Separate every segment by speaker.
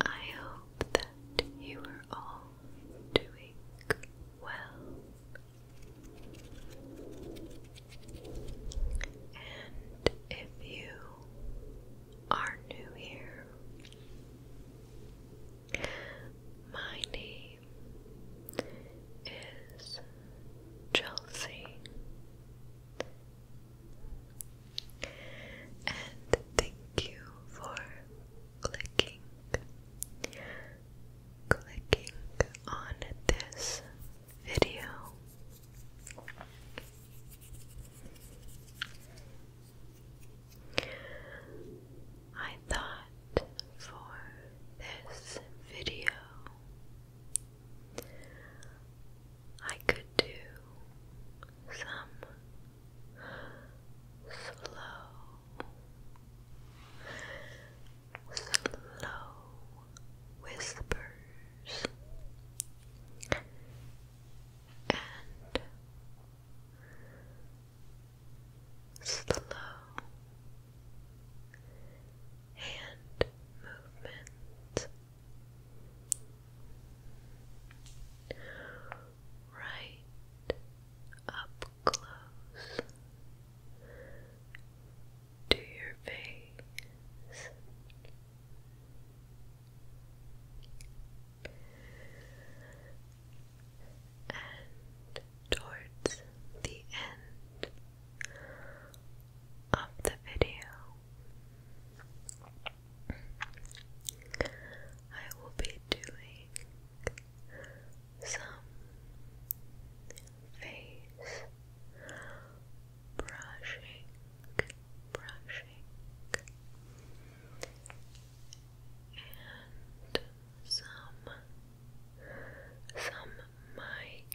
Speaker 1: I hope that you are all doing well and if you are new here my name is Chelsea, and thank you for clicking, clicking on this video. I thought for this video I could do some slow, slow whispers and slow hand movement right up close to your face and towards the end of the video, I will be doing some face brushing, brushing, and some some mic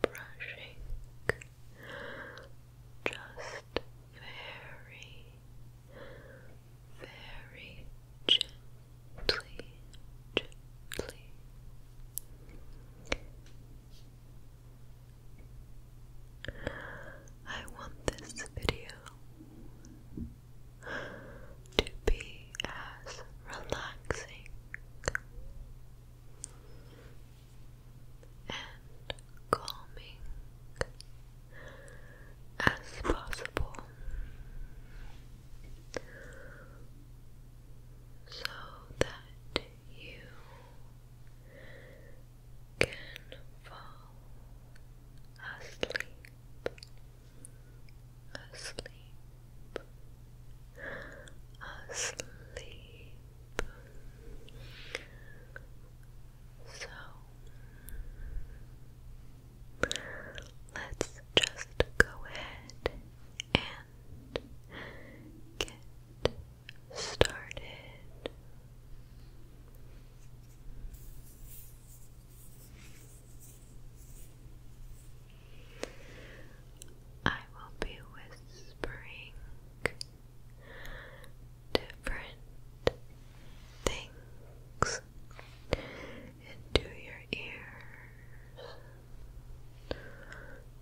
Speaker 1: brushing just very, very gently, gently. I want this video to be as relaxing and calming as possible. So that you can fall asleep asleep, asleep. So let's just go ahead and get started. I will be whispering different things into your ears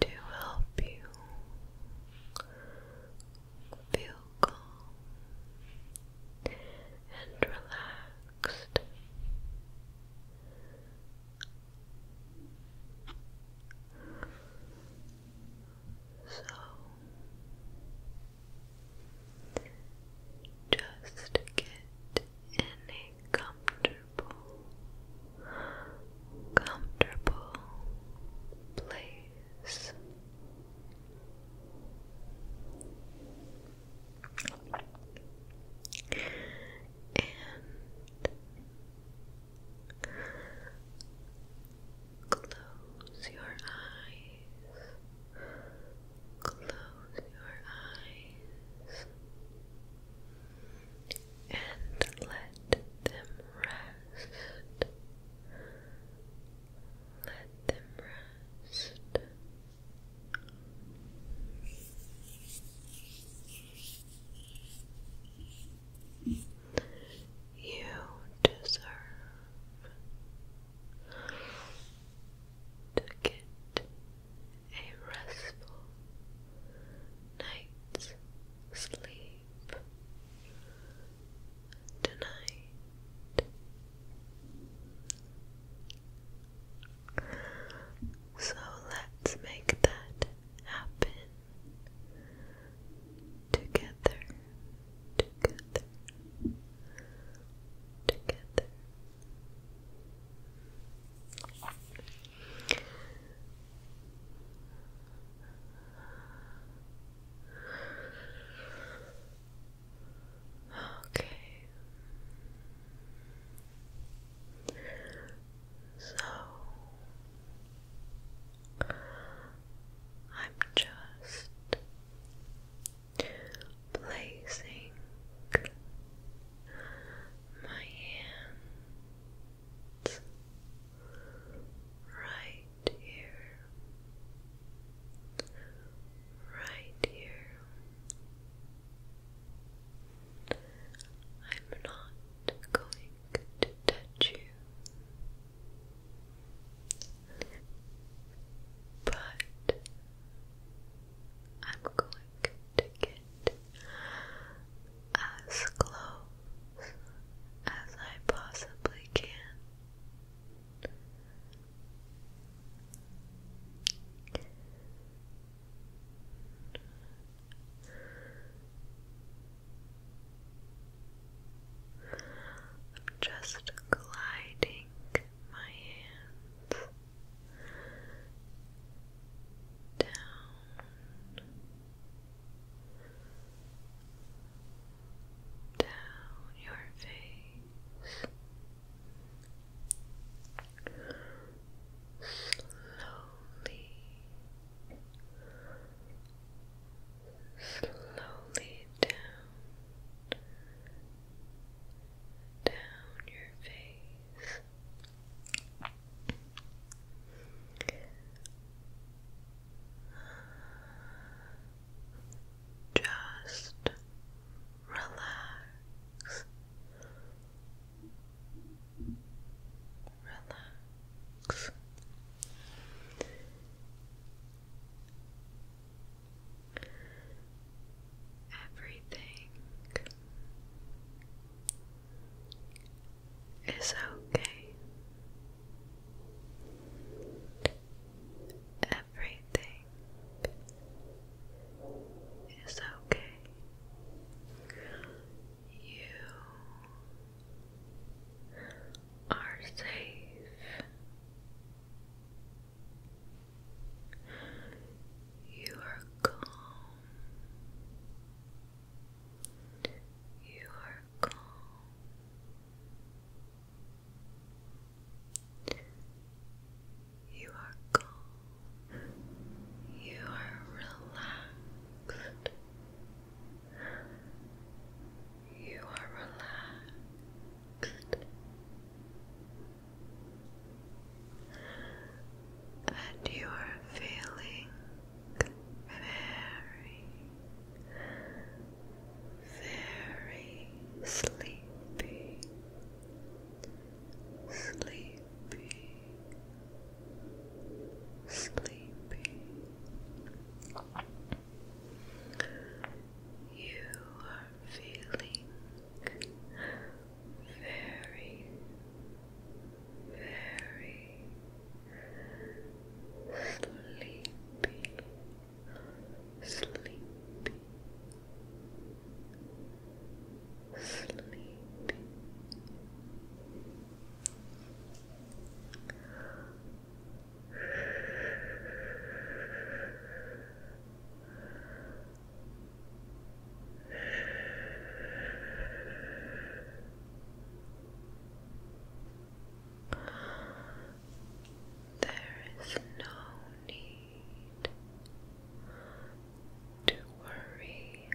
Speaker 1: to help you feel calm and relaxed. So just get in a comfortable, comfortable place close your eyes. Close your eyes. And let them rest. Let them rest. You deserve to get a restful night's sleep tonight. So let's make that happen together, together, together. Okay. So I'm just placing my hands right here, right here. I'm not going to touch you, but I'm going to get as close as I possibly can. I'm just gliding my hands down down your face Slowly, slowly down, down your face. Just relax, relax. Everything is okay everything is okay. You are safe. You are calm. You are calm. You are calm. You are relaxed. You are relaxed. And you are feeling very, very sleepy sleepy, sleepy. You are feeling very, very sleepy, sleepy, sleepy there is no need need to worry.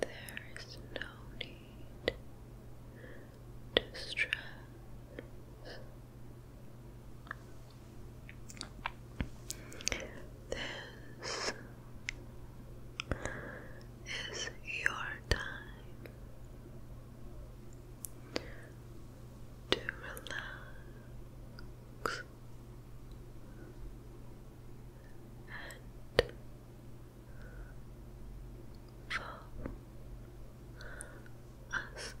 Speaker 1: There is no need to stress. This is your time to relax and fall asleep. Fall asleep.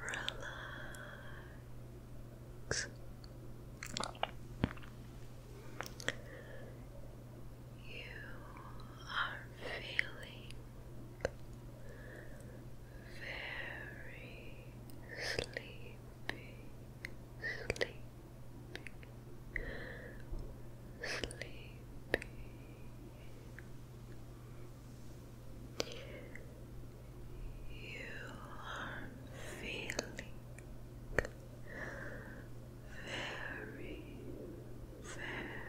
Speaker 1: relax. You are feeling very sleepy, sleepy, sleepy you are feeling very,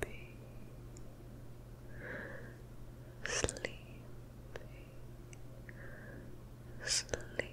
Speaker 1: very sleepy, sleepy, sleepy.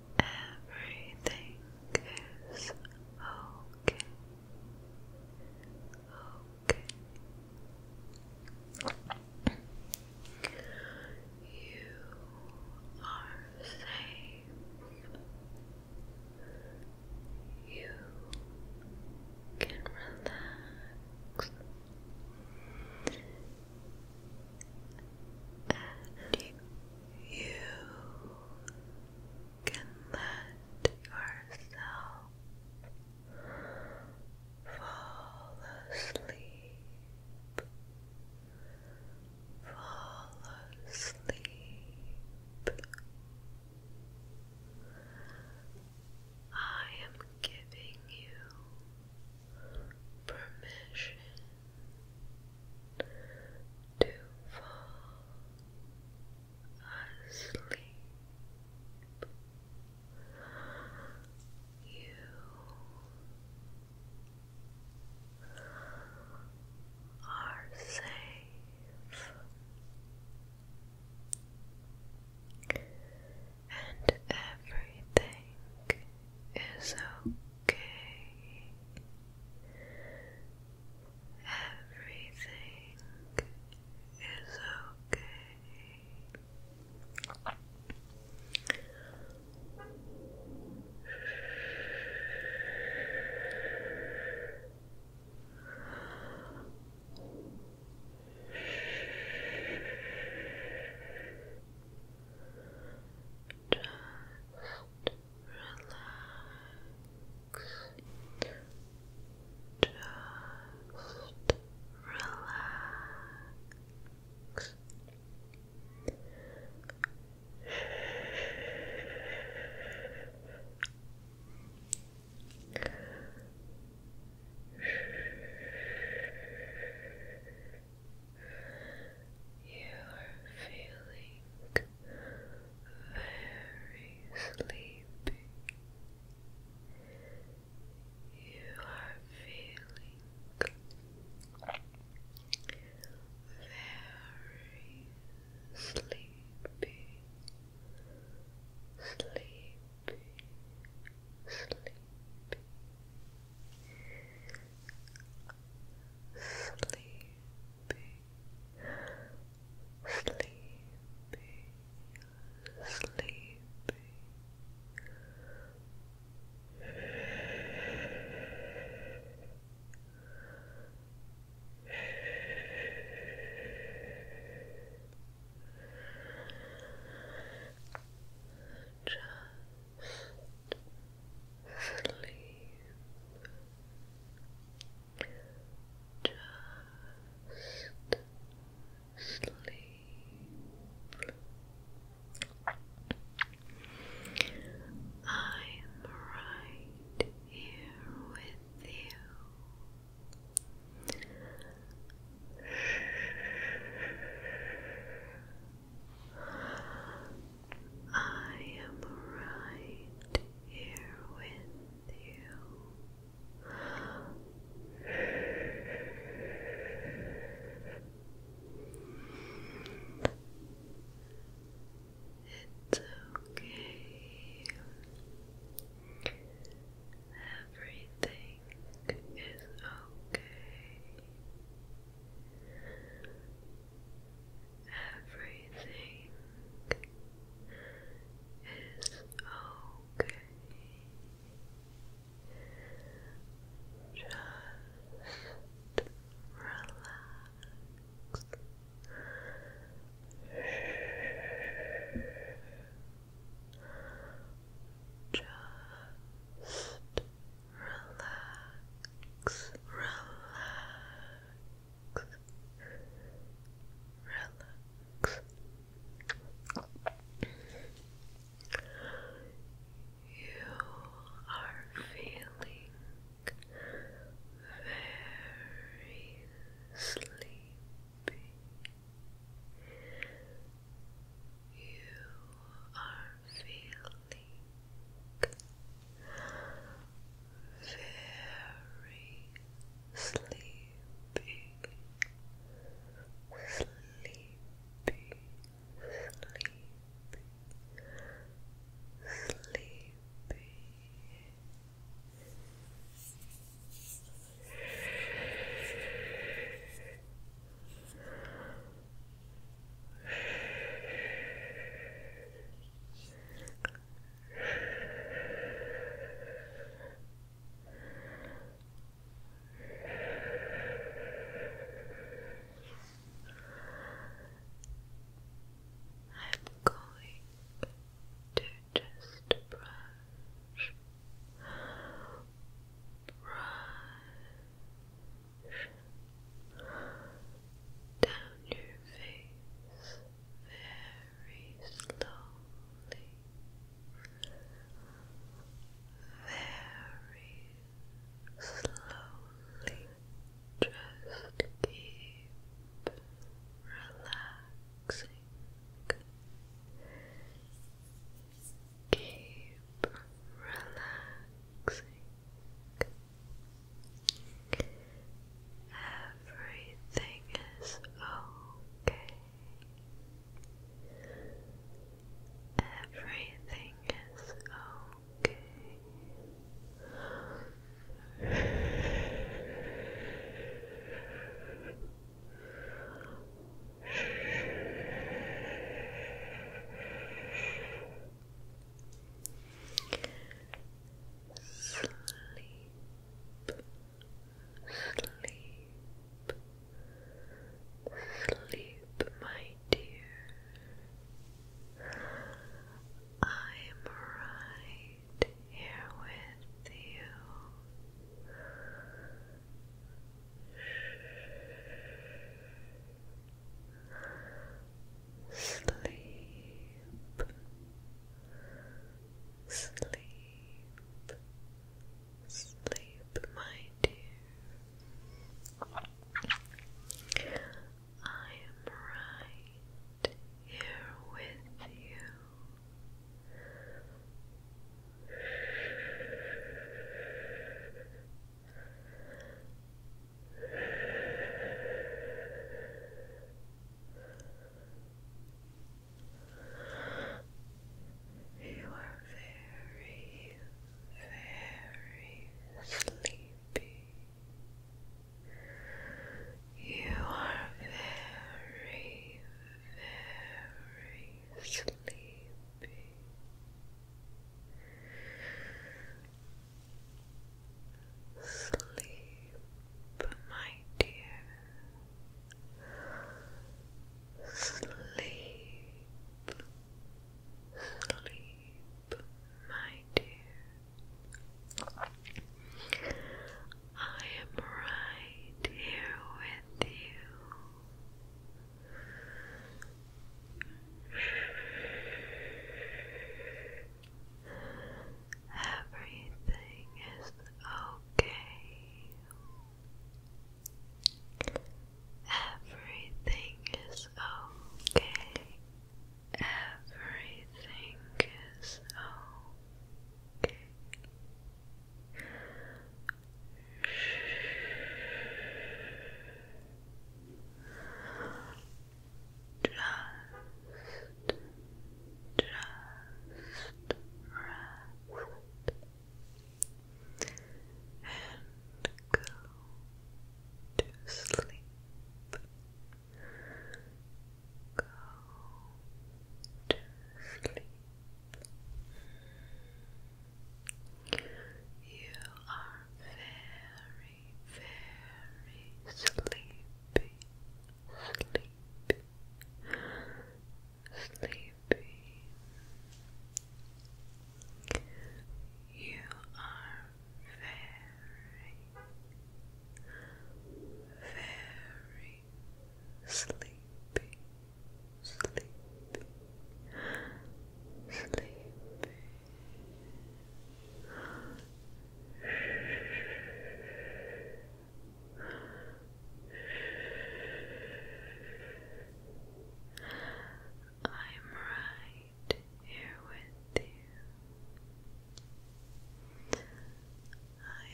Speaker 1: Everything is okay. Okay. You are safe. You can relax. And you can let yourself fall asleep, fall asleep. I am giving you permission to fall asleep. You are safe and everything is okay. Everything is okay. Just relax. You are feeling very sleepy. You are feeling very sleepy, sleepy, sleepy. Sleep, sleepy, sleepy. Just sleep. Just sleep. I'm right here with you. I am right here with you. It's okay. Everything is okay. Everything is okay. Just relax. Just relax, relax, relax. You are feeling very sleepy. You are feeling very sleepy, sleepy, sleepy, sleepy. I'm going to just brush, brush, down your face very slowly, very slowly. Just keep relaxing. Keep relaxing. Everything is okay. Everything is okay. Sleep, sleep, sleep, my dear. I'm right here with you sleep, sleep, sleep, my dear. I am right here with you. You are very, very sleepy. You are very, very sleepy. Sleep, my dear. Sleep, sleep, my dear. I am right here with you. Everything is okay. Everything is okay. Everything is okay. Just, just rest and go to sleep. Go to sleep. You are very very sleepy, sleepy, sleepy. You are very, very sleepy, sleepy, sleepy. I'm right here with you. I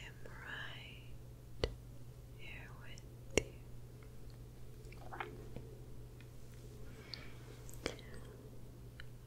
Speaker 1: am right here with you. Just keep relaxing.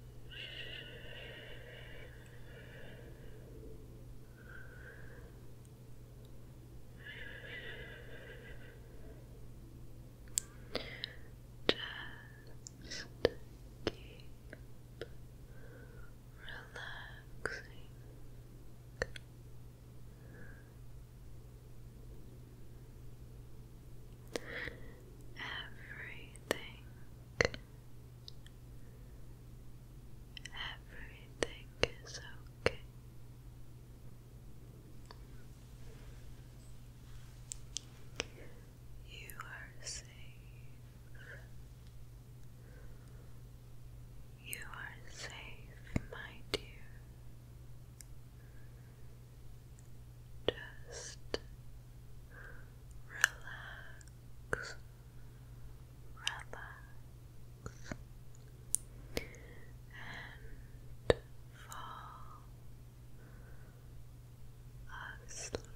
Speaker 1: Everything, everything is okay. You are safe. You are safe, my dear. Just relax, relax, and fall asleep.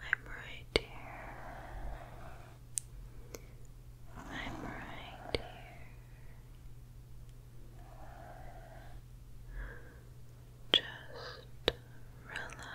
Speaker 1: I'm right here. I'm right here. Just relax.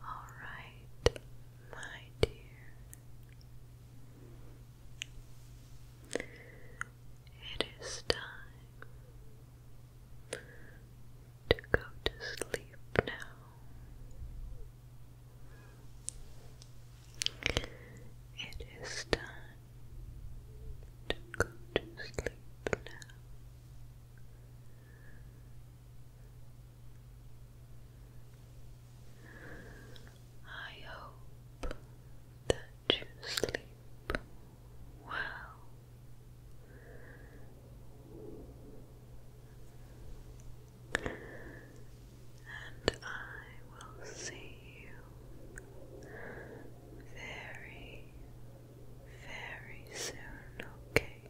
Speaker 1: all right, my dear it is time to go to sleep now. It is time to go to sleep now. I that you sleep well. And I will see you very, very soon, okay?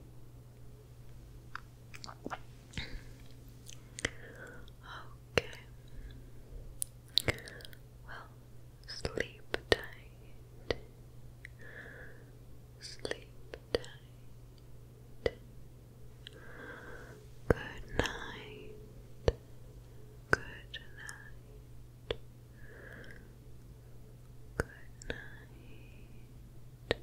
Speaker 1: Okay. Well, sleep tight. Sleep tight. Good night. Good night. Good night.